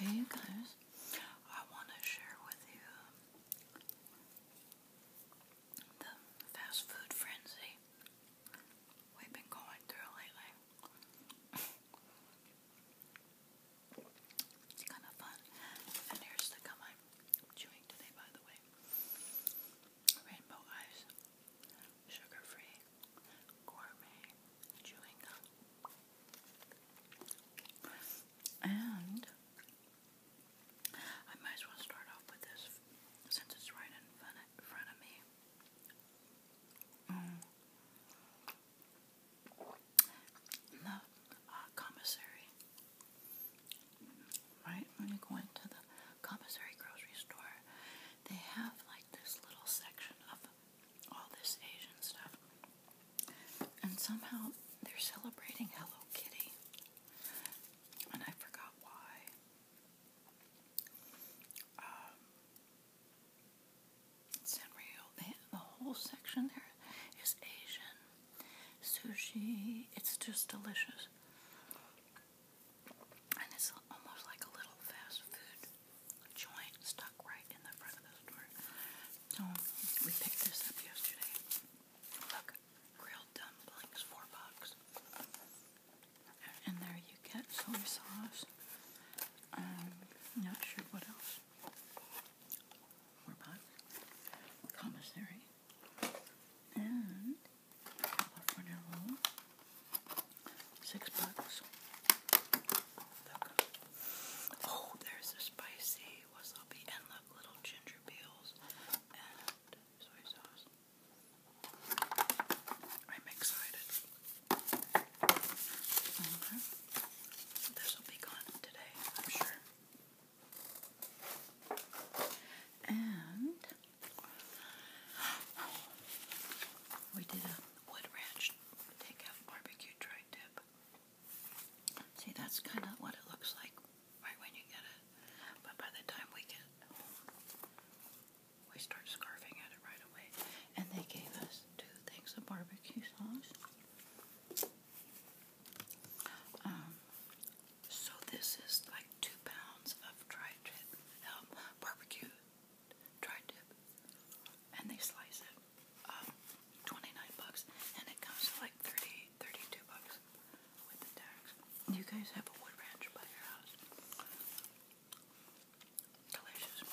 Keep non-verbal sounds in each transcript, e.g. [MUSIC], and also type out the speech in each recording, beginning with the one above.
Hey you guys, I want to share with you the fast food frenzy we've been going through lately. it's kind of fun. And here's the gum I'm chewing today, by the way. Rainbow eyes sugar-free gourmet chewing gum. And I might as well start off with this since it's right in front of, me. Mm. The uh, commissary. Right when you go into the commissary grocery store, they have like this little section of all this Asian stuff. And somehow they're celebrating Hello Kitty. And I forgot why. Um, Sanrio, they, the whole section there is Asian. Sushi, it's just delicious. And it's almost like a little fast food joint stuck right in the front of the store. So we picked this up yesterday. Look, grilled dumplings, four bucks. And there you get soy sauce. not sure what else. More bucks. Commissary. And Six bucks. Oh, there's the spicy wasabi and the little ginger peels and soy sauce. I'm excited. Mm-hmm. This will be gone today, I'm sure. And we did a wood ranch takeout barbecue tri tip. See, that's kind of what it looks like right when you get it. But by the time we get home, we start scarfing at it right away. And they gave us two things of barbecue sauce. Um, so this is, I like two pounds of tri-tip um, barbecue tri-tip, and they slice it. Um, twenty-nine bucks, and it comes to like 30, bucks with the tax. You guys have a wood ranch by your house. Delicious.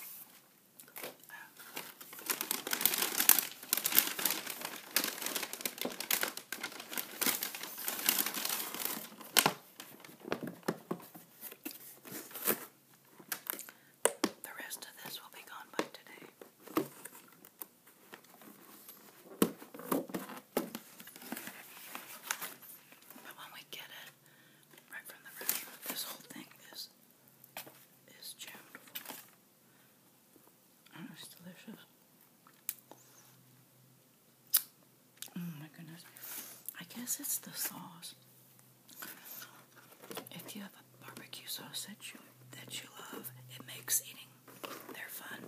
The rest of this will be gone by today. But when we get it right from the restaurant, this whole thing is is tuned. Mm, it's delicious. Oh my goodness. I guess it's the sauce. If you have a barbecue sauce that you love, it makes eating their fun.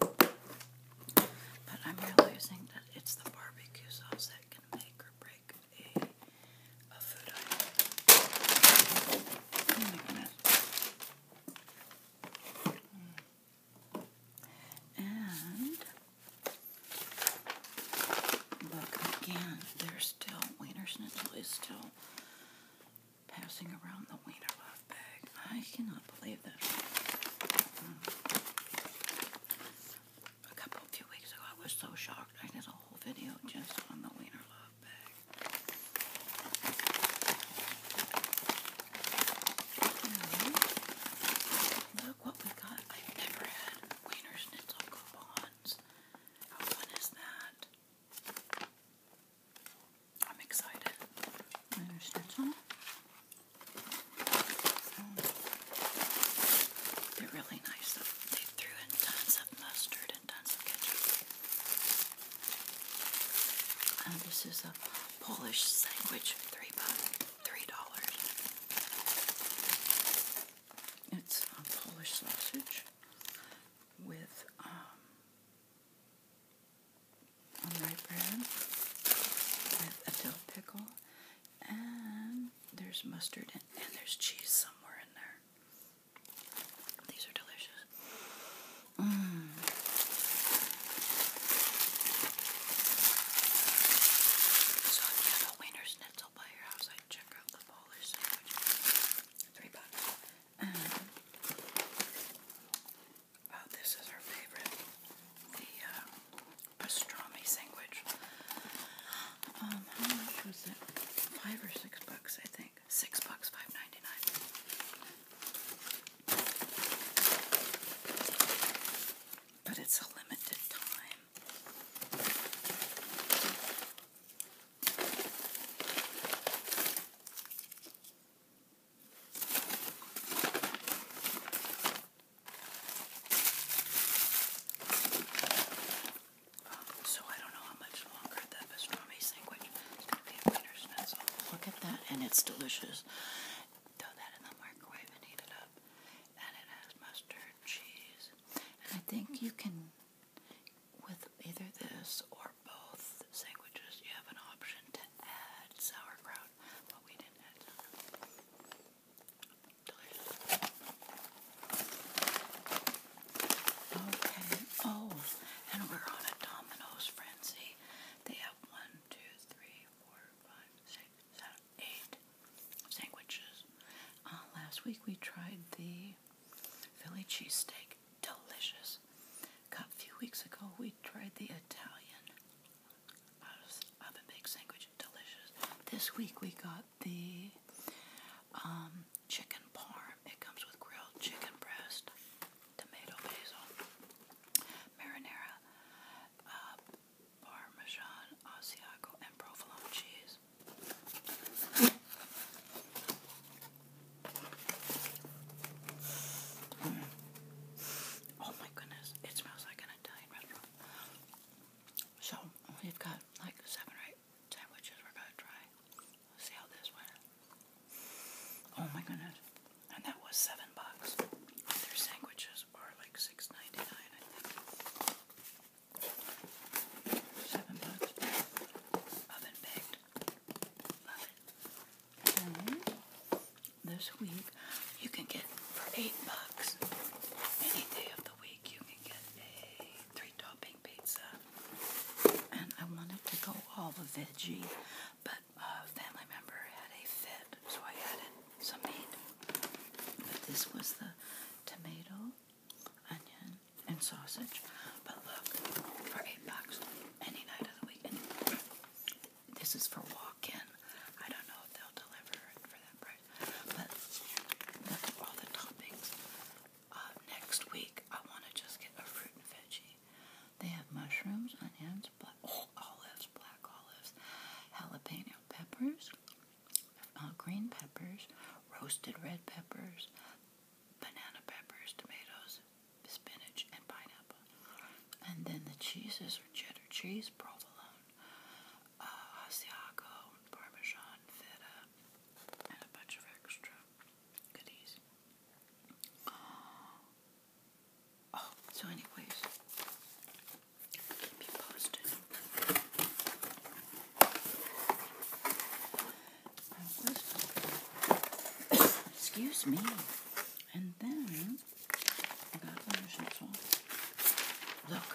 But I'm realizing that it's the barbecue sauce that can make or break a, food item. Oh my goodness. Mm. And look again, there's still Wiener Schnitzel is still passing around the Wiener Love bag. I cannot believe that. A couple few weeks ago, I was so shocked. I did a whole video just on the Wiener Love bag look what we got. I've never had Wiener coupons. How that? I'm excited. Wiener they're really nice. They threw in tons of mustard and tons of ketchup. And this is a Polish sandwich, three bucks, three dollars. It's a um, Polish sausage with um, bread with a dill pickle, and there's mustard and there's cheese somewhere in there. These are delicious. Mm. So if you have a winner's schnitzel by your house, I'd check out the Polish sandwich. Three bucks. Um, this is our favorite. The uh, pastrami sandwich. Um, how much was it? Five or six bucks, I think. Six bucks, five ninety nine. But it's a limited time. so I don't know how much longer for the pastrami sandwich. Look at that, and it's delicious. Throw that in the microwave and heat it up. And it has mustard, cheese. I think you can, with either this or both sandwiches, you have an option to add sauerkraut, but we didn't Delicious. Okay. Oh, and we're on Domino's frenzy. They have one, two, three, four, five, six, seven, eight sandwiches. Uh, last week we tried the Philly cheesesteak. Delicious. A few weeks ago we tried the Italian oven baked sandwich. Delicious. This week we got the um, chicken parm. It comes with grilled chicken breast, tomato basil, marinara, uh, parmesan, Asiago, and provolone cheese. Oh my goodness, it smells like an Italian restaurant. So, we've got like seven or sandwiches we're gonna try see how this went. Oh my goodness. And that was seven bucks. Their sandwiches are like six ninety nine, Seven bucks. Oven baked. Love it. this week you can get for eight bucks. Any day of the week you can get a three-top pizza, and I wanted to go all the veggie, but a family member had a fit, so I added some meat. But this was the tomato, onion, and sausage. But look, for eight bucks, any night of the week. This is for walk-in. I don't know if they'll deliver for that price. But look at all the toppings. Uh, next week I want to just get a fruit and veggie. They have mushrooms, onions, black, oh, olives, black olives, jalapeno peppers, uh, green peppers, roasted red peppers, banana peppers, tomatoes, spinach, and pineapple. And then the cheeses are cheddar cheese, provolone, uh, Asiago, parmesan, feta, and a bunch of extra goodies. Oh, so anyways, keep you posted. [COUGHS] excuse me, and then I got one of Look,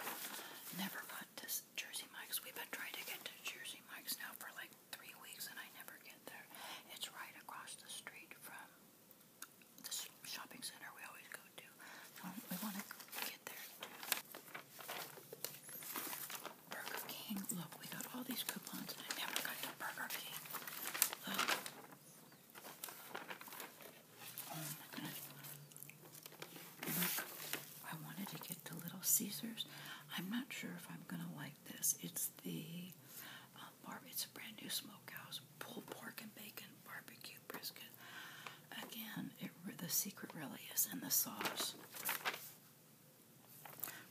never got this Jersey Mike's. We've been trying to get to Jersey Mike's now for like three weeks and I never get there. It's right across the street from the shopping center we always go to. we want to get there Burger King. Look, we got all these coupons and I never got to Burger King. Look. Oh Look, I wanted to get to Little Caesars. I'm not sure if I'm gonna like this. It's the um, It's a brand new smokehouse, pulled pork and bacon, barbecue brisket. Again, the secret really is in the sauce.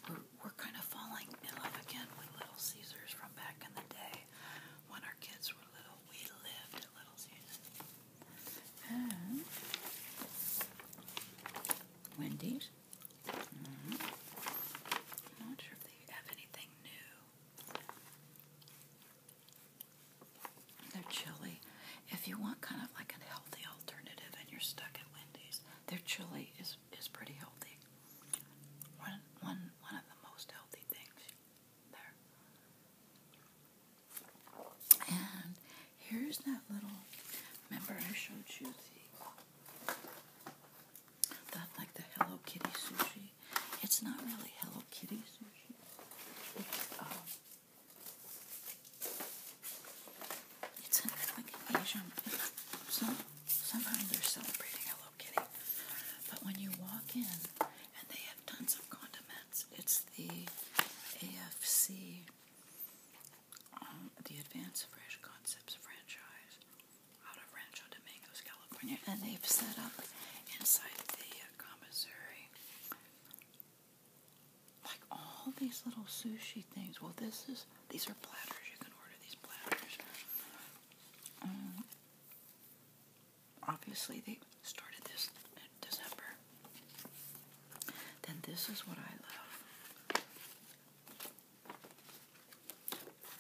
we're kind of falling in love again with Little Caesars from back in the day when our kids were little. We lived at Little Caesars. Wendy's. Mm-hmm. not sure if they have anything new. Their chili. If you want kind of like a healthy alternative and you're stuck at Wendy's, their chili is, is pretty healthy. One, one, one of the most healthy things there. And here's that little. Remember, I showed you the that like the Hello Kitty sushi. It's not really Hello Kitty sushi. It's um, it's like an Asian. Some somehow they're celebrating Hello Kitty, but when you walk in, and they have tons of condiments. It's the AFC, um, the Advanced Fresh Concepts franchise out of Rancho Domingos, California, and they've set up inside the commissary like all these little sushi things. Well, this is these are platters. You can order these platters. Um, obviously they started this in December. Then this is what I love.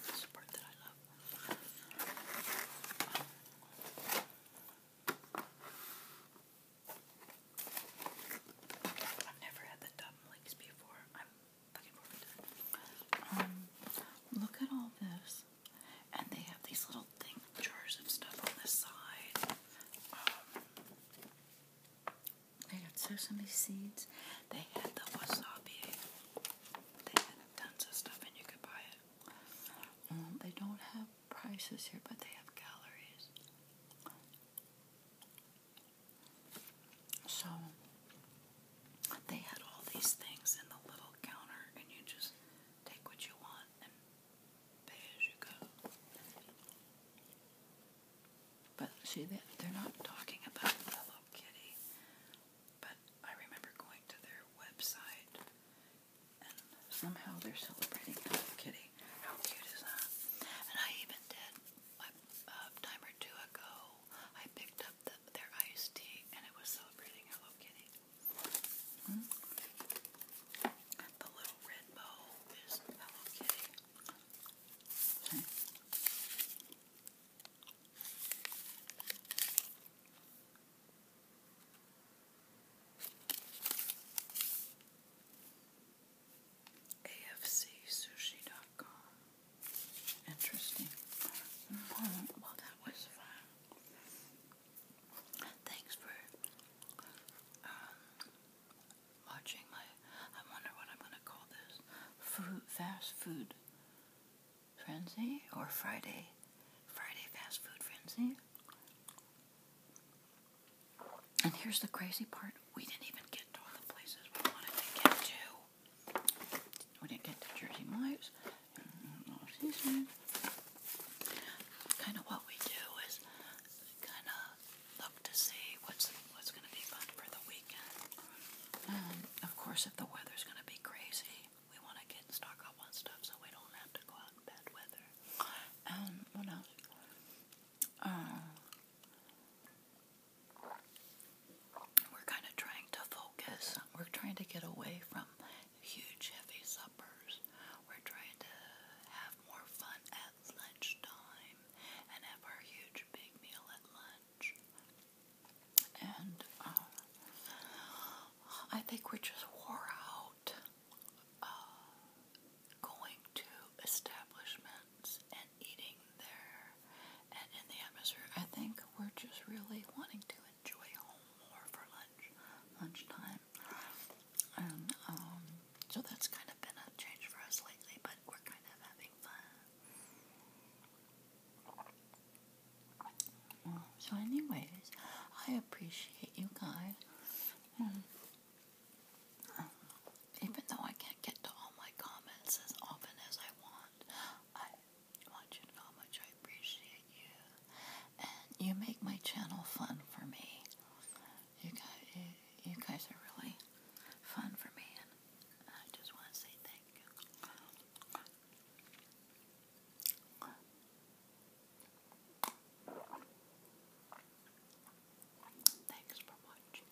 This is the part that I love. I've never had the dumb links before. I'm looking forward to it. Um, look at all this and they have these little thing jars of stuff on the side. Um, they had sesame seeds. They had the wasabi. They had tons of stuff, and you could buy it. Um, they don't have prices here, but they have calories. So they had all these things in the little counter, and you just take what you want and pay as you go. But see, they're not talking about Hello Kitty, but I remember going to their website and somehow they're celebrating Hello Kitty. How cute is that? And I even did, a time or two ago, I picked up the their iced tea, and it was celebrating Hello Kitty. Hmm? The little red bowl is Hello Kitty. AFCSushi.com. Interesting. Hmm. Well, that was fun. Thanks for um, watching my. I wonder what I'm gonna call this. Food, fast food frenzy or Friday, Friday fast food frenzy. And here's the crazy part: we didn't even get to all the places we wanted to get to. We didn't get the Jersey Mike's. Kind of what we do is kind of look to see what's what's going to be fun for the weekend. Um, of course, if the weather's going to be crazy, we want to get stock up on stuff so we don't have to go out in bad weather. Um, what else? Uh, we're kind of trying to focus. We're trying to get away from huge, heavy suppers. We're trying to have more fun at lunchtime and have our huge, big meal at lunch. And uh, I think we're just wore out uh, going to establishments and eating there and in the atmosphere. I think we're just really wanting to enjoy home more for lunch, lunchtime. And um, so that's kind of been a change for us lately, but we're kind of having fun. Um, so, anyways, I appreciate you guys. Um, even though I can't get to all my comments as often as I want, I want you to know how much I appreciate you. And you make my channel fun for me. You guys, you, guys are really fun for me, and I just want to say thank you. Thanks for watching.